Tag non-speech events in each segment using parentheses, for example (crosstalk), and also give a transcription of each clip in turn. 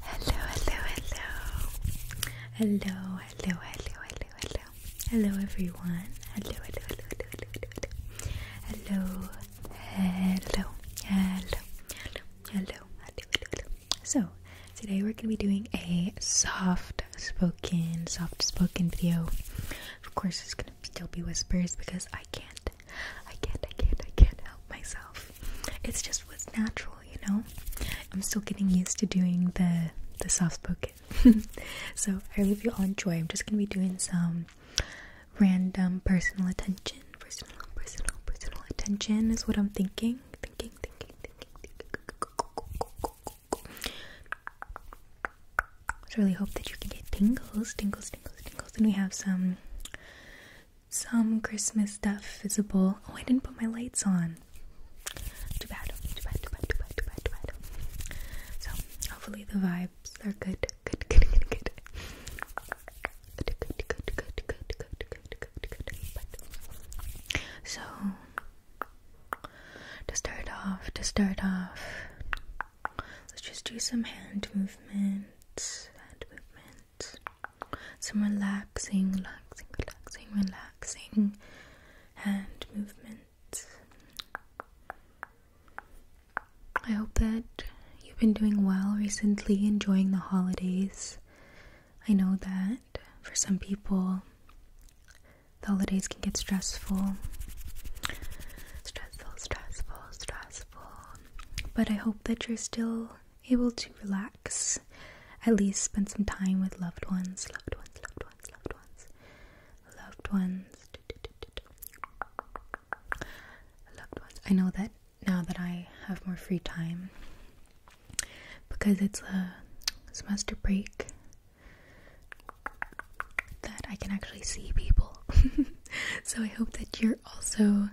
Hello, hello, hello. Hello, hello, hello, hello, hello. Hello everyone. Hello, hello, hello, hello, hello, hello. Hello, hello, hello, hello, hello, hello. So, today we're going to be doing a soft spoken, soft spoken video. Of course, it's going to still be whispers because I can't I can't, I can't, I can't help myself. It's just what's natural, you know? I'm still getting used to doing the the soft spoken. (laughs) so I hope you all enjoy. I'm just gonna be doing some random personal attention. Personal, personal, personal attention is what I'm thinking. Thinking, thinking, thinking, thinking. I really hope that you can get tingles, tingles, tingles, tingles. And we have some some Christmas stuff visible. Oh, I didn't put my lights on. Too bad, too bad, too bad, too bad, too bad, too bad. So, hopefully, the vibes are good. Good, good, good, good. Good, good, good, good, good, good, good, so, to start off, to start off, let's just do some hand movements. Hand movements. Some relaxing, relaxing, relaxing, relaxing hand movements. I hope that you've been doing well recently, enjoying the holidays. I know that for some people, the holidays can get stressful. Stressful, stressful, stressful. But I hope that you're still able to relax, at least spend some time with loved ones, loved ones, loved ones, loved ones, loved ones, loved ones. I know that now that I have more free time because it's a semester break that I can actually see people. (laughs) so I hope that you're also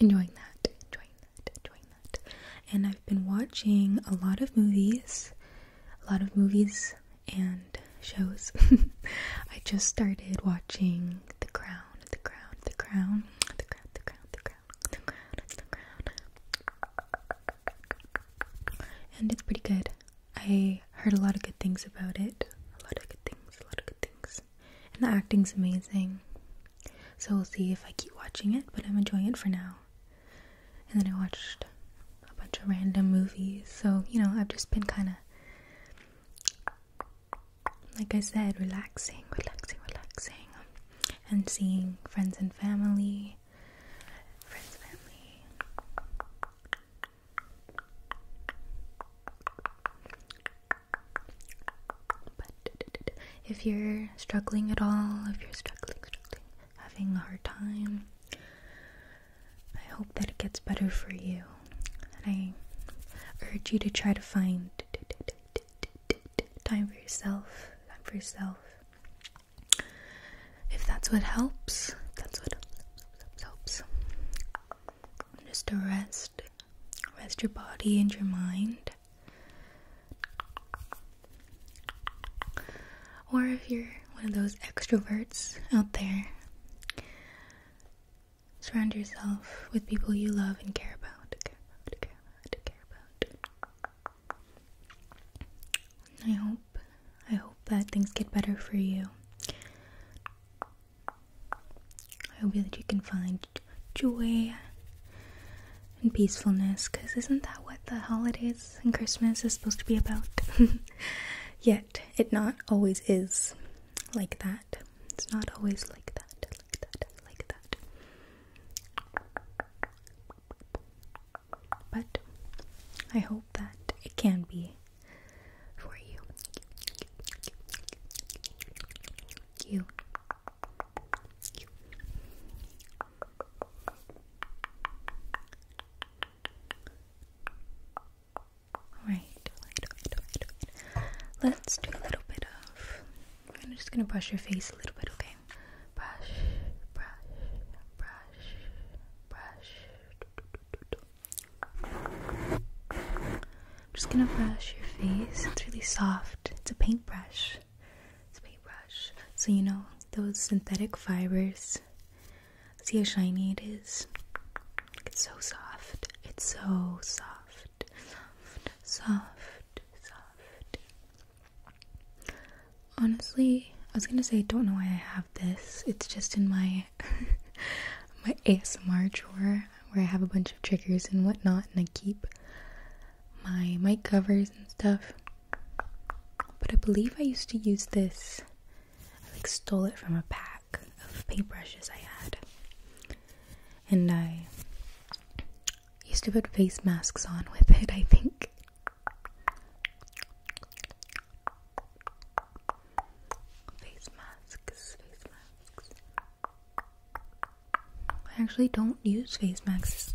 enjoying that, enjoying that, enjoying that. And I've been watching a lot of movies, a lot of movies and shows. (laughs) I just started watching The Crown, The Crown, The Crown, The Crown, The Crown, The Crown, The Crown, The Crown. And it's pretty good. I heard a lot of good things about it. A lot of good things, a lot of good things and the acting's amazing. So we'll see if I keep watching it, but I'm enjoying it for now. And then I watched a bunch of random movies, so you know, I've just been kind of, like I said, relaxing, relaxing, relaxing, and seeing friends and family. Friends, family if you're struggling at all, if you're struggling, struggling, having a hard time, I hope that it gets better for you. And I urge you to try to find time for yourself, time for yourself. If that's what helps, that's what helps. Just to rest, rest your body and your mind. Or if you're one of those extroverts out there, surround yourself with people you love and care about. care about. I hope, I hope that things get better for you. I hope that you can find joy and peacefulness, because isn't that what the holidays and Christmas is supposed to be about? (laughs) Yet, it not always is like that. It's not always like that, like that, like that. But I hope that it can be for you. You. Right, right, right, right, right. Let's do a little bit of. I'm just gonna brush your face a little bit, okay? Brush, brush, brush, brush. I'm just gonna brush your face. It's really soft. It's a paintbrush. It's paintbrush. So you know those synthetic fibers. See how shiny it is? It's so soft. It's so soft. Soft, soft, Honestly, I was gonna say I don't know why I have this. It's just in my (laughs) my ASMR drawer where I have a bunch of triggers and whatnot and I keep my mic covers and stuff. But I believe I used to use this. I like stole it from a pack of paintbrushes I had. And I used to put face masks on with it, I think. Face masks, face masks. I actually don't use face masks.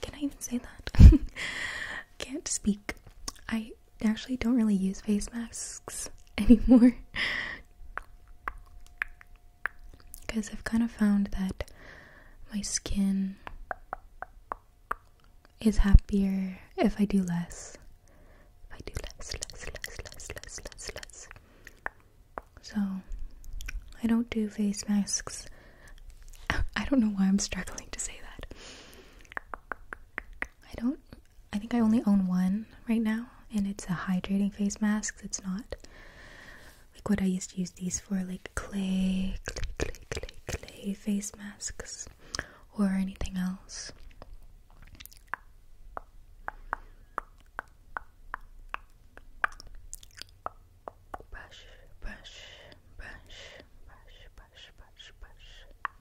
Can I even say that? (laughs) Can't speak. I actually don't really use face masks (laughs) anymore. Because I've kind of found that my skin is happier if I do less. If I do less, less, less, less, less, less, less. So, I don't do face masks. (laughs) I don't know why I'm struggling to say that. I don't, I think I only own one right now, and it's a hydrating face mask. It's not like what I used to use these for, like clay, clay, clay, clay, clay face masks or anything else. Bash, brush, brush, brush, brush, brush, brush. Brush.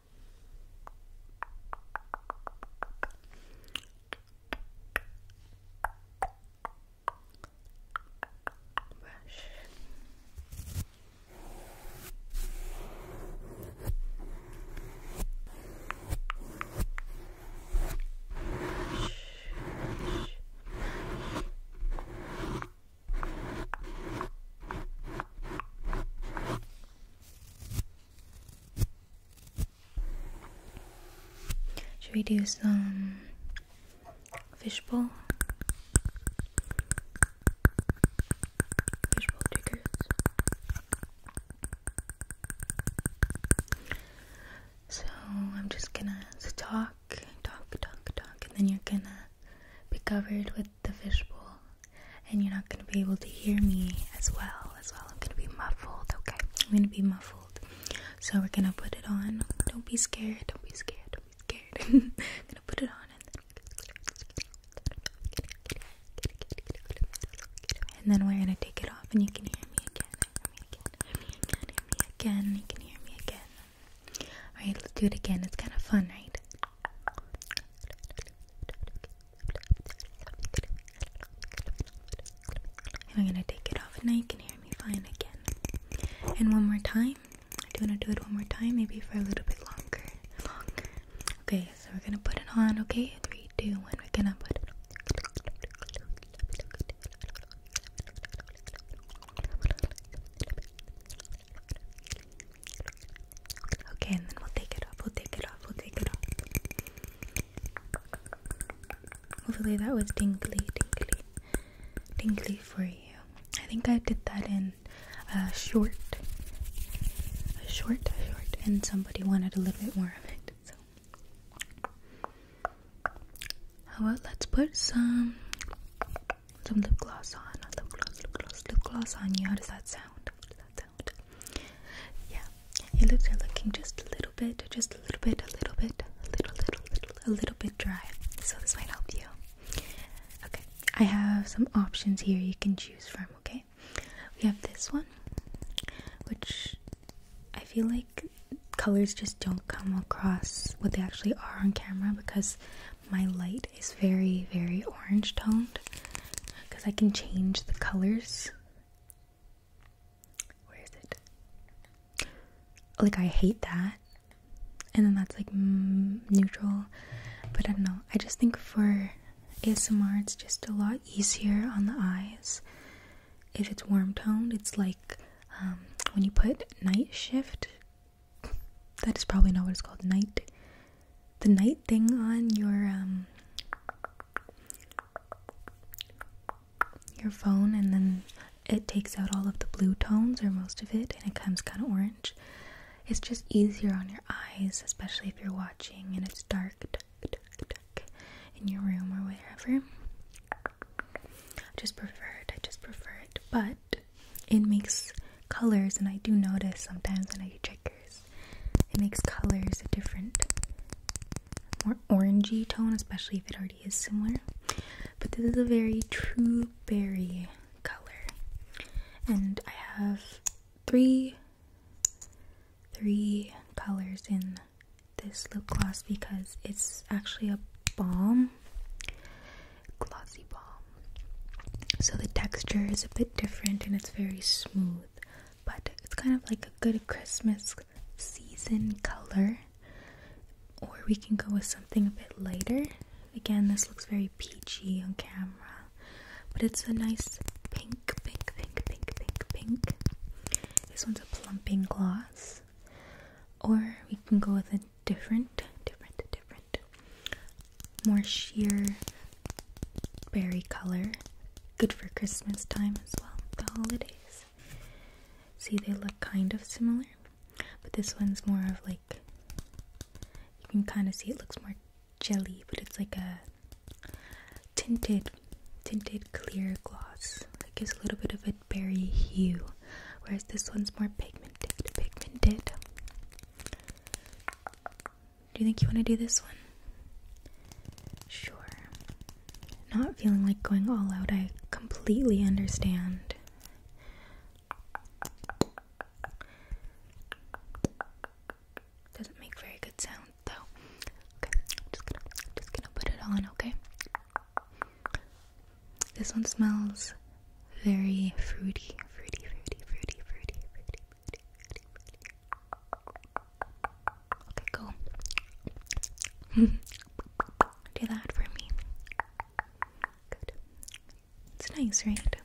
Brush. Should we do some fishbowl? Fishbowl triggers. So I'm just gonna talk, talk, talk, talk, and then you're gonna be covered with the fishbowl, and you're not gonna be able to hear me as well. As well, I'm gonna be muffled. Okay, I'm gonna be muffled. So we're gonna put it on. Don't be scared. Don't be scared. Don't be scared. I'm gonna put it on, and then we're gonna take it off, and you can hear me again me again, hear me again, you can hear me again. Alright, let's do it again. It's kind of fun, right? And I'm gonna take it off, now you can hear me fine again. And one more time. I do wanna do it one more time, maybe for a little bit Longer. Okay, so we're gonna put it on. Okay, three, two, one. We're gonna put it. On. Okay, and then we'll take it off, we'll take it off, we'll take it off. Hopefully that was tingly, tingly, tingly for you. I think I did that in a short, a short, short, and somebody wanted a little bit more of it, so how oh, about let's put some some lip gloss on. Lip gloss, lip gloss, lip gloss on you. How does that sound? How does that sound? Yeah, your lips are looking just a little bit, just a little bit, a little bit, a little, little, a little bit dry. So this might help you. Okay, I have some options here you can choose from. Okay, we have this one, which I feel like colors just don't come across what they actually are on camera because my light is very, very orange toned because I can change the colors. Where is it? Like, I hate that. And then that's like neutral. But I don't know. I just think for ASMR, it's just a lot easier on the eyes. If it's warm toned, it's like um, when you put night shift, that is probably not what it's called. Night, the night thing on your um, your phone, and then it takes out all of the blue tones or most of it, and it comes kind of orange. It's just easier on your eyes, especially if you're watching and it's dark in your room or wherever. I just prefer it. I just prefer it. But it makes colors, and I do notice sometimes when I do checkers, it makes colors a different, more orangey tone, especially if it already is similar. But this is a very true berry color, and I have three, three colors in this lip gloss because it's actually a balm glossy balm so the texture is a bit different and it's very smooth but it's kind of like a good christmas season color or we can go with something a bit lighter again this looks very peachy on camera but it's a nice pink pink pink pink pink pink this one's a plumping gloss or we can go with a different, different, different, more sheer berry color. Good for Christmas time as well, the holidays. See, they look kind of similar, but this one's more of like you can kind of see it looks more jelly, but it's like a tinted, tinted clear gloss. Like gives a little bit of a berry hue, whereas this one's more pigmented. Pigmented. Do you think you want to do this one? Sure. Not feeling like going all out, I completely understand. Doesn't make very good sound though. Okay, just gonna just gonna put it on, okay? This one smells very fruity, fruity, fruity, fruity, fruity, fruity, fruity, fruity, fruity. Okay, cool. (laughs) Do that for me. Good. It's nice, right?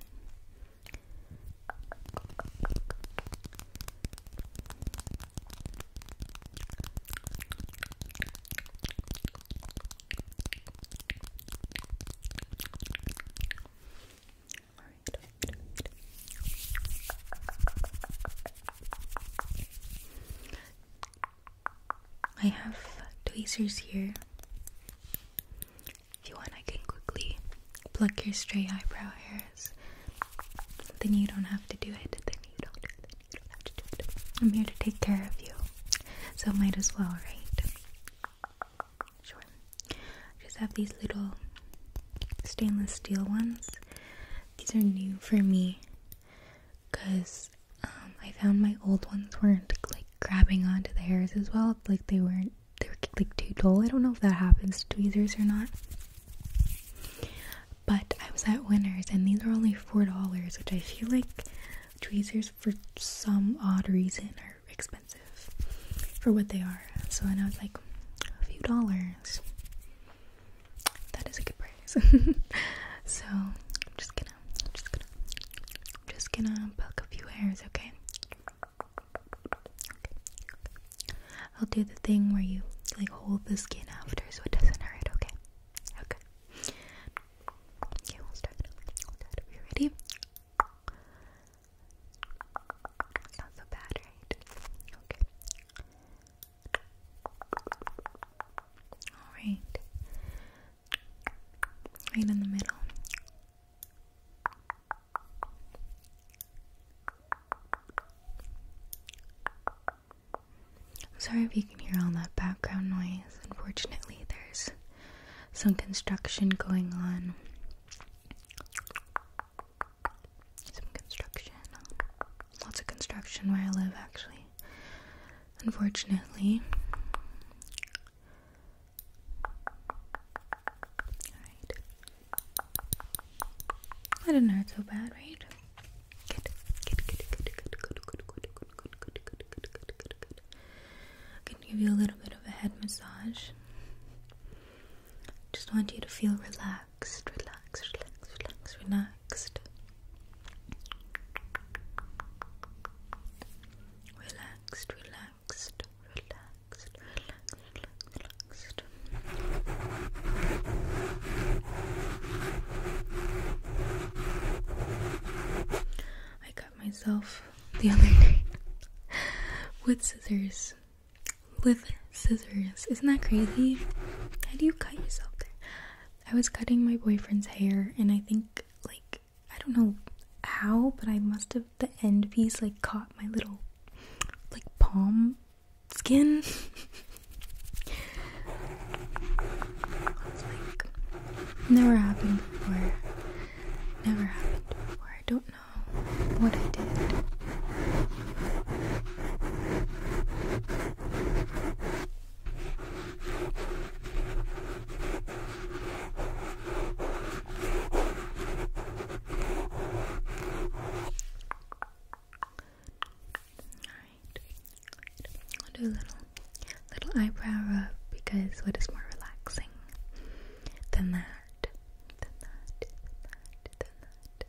I have tweezers here. If you want, I can quickly pluck your stray eyebrow hairs. Then you don't have to do it. Then you don't. I'm here to take care of you. So might as well, right? Sure. Just have these little stainless steel ones. These are new for me because um, I found my old ones weren't like grabbing onto the hairs as well. Like they weren't, they were like too dull. I don't know if that happens to tweezers or not. But I was at Winners and these were only four dollars, which I feel like tweezers for some odd reason are expensive for what they are. So then I was like, a few dollars. That is a good price. (laughs) so I'm just gonna, just gonna, just gonna pluck a few hairs, okay? okay? I'll do the thing where you like hold the skin after so it doesn't hurt, okay? Okay. Okay, we'll start it Are ready? Not so bad, right? Okay. Alright. Right in the middle. I'm sorry if you can hear all that background noise. Unfortunately, there's some construction going on. Some construction. Lots of construction where I live, actually. Unfortunately. Alright. That didn't hurt so bad, right? good, good, good, good, good, good, good. I can give you a little bit of a head massage. Just want you to feel relaxed, relaxed, relaxed, relaxed, relaxed. Relaxed, relaxed, relaxed, relaxed, relaxed, relaxed. I cut myself the other day (laughs) with scissors. With scissors. Isn't that crazy? How do you cut yourself I was cutting my boyfriend's hair, and I think, like, I don't know how, but I must have the end piece, like, caught my little, like, palm skin. (laughs) never happened before. Never happened before. I don't know what I did. I'll do a little, little eyebrow up because what is more relaxing than that? Than that? Than that? Than that?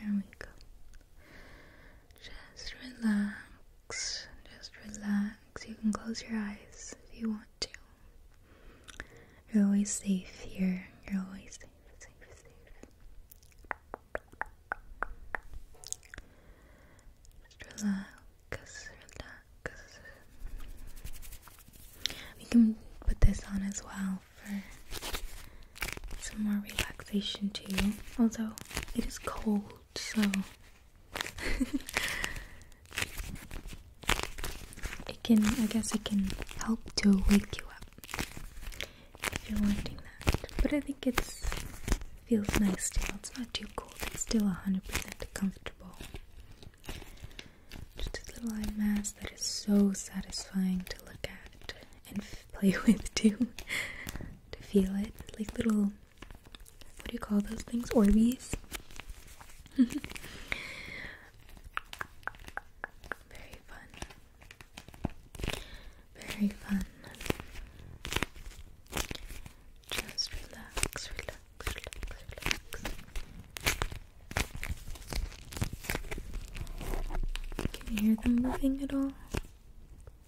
Here we go. Just relax, just relax. You can close your eyes if you want to. You're always safe here. You're always safe, safe, relax, We can put this on as well for some more relaxation too. Although it is cold so (laughs) it can I guess it can help to wake you up if you're wanting that. But I think it's feels nice still. It's not too cold. It's still hundred percent comfortable. Just a little eye mask that is so satisfying to look at and (laughs) play with too. (laughs) to feel it, like little what do you call those things? Orbeez. (laughs) Very fun. Very fun. Just relax, relax, relax, relax. Can you hear them moving at all?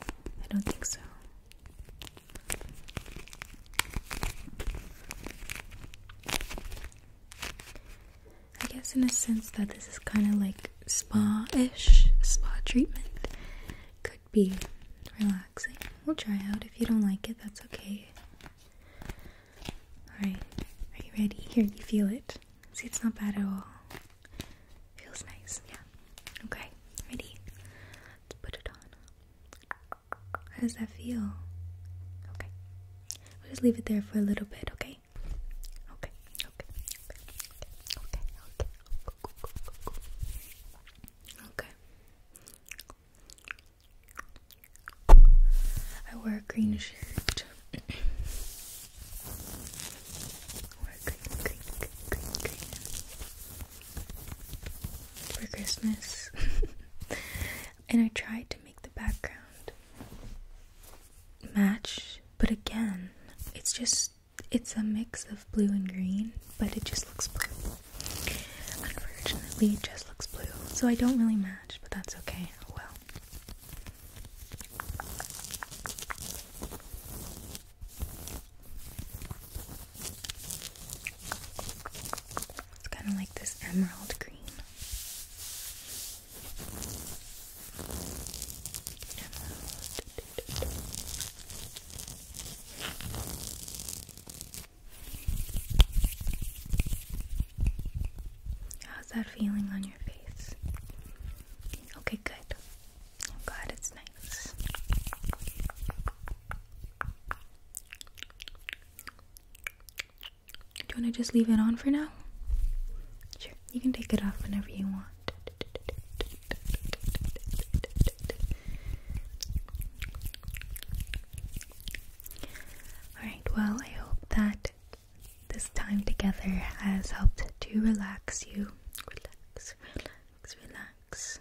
I don't think so. I guess in a sense that this is kind of like spa-ish, spa treatment. Could be relaxing. We'll try out. If you don't like it, that's okay. Alright, are you ready? Here, you feel it. See, it's not bad at all. Feels nice, yeah. Okay, ready? Let's put it on. How does that feel? Okay. We'll just leave it there for a little bit, okay? Okay, okay, okay, okay, okay. Okay. I wear a green shirt. For Christmas. (laughs) and I tried to make the background match, but again, it's just it's a mix of blue and green, but it just looks blue. Unfortunately, it just looks blue, so I don't really match, but that's okay. Oh, well. It's kind of like this emerald green. How's that feeling on your face? Okay, good. I'm oh glad it's nice. Do you want to just leave it on for now? Sure, you can take it off whenever you want. Alright, well, I hope that this time together has helped to relax you. Relax, relax, relax.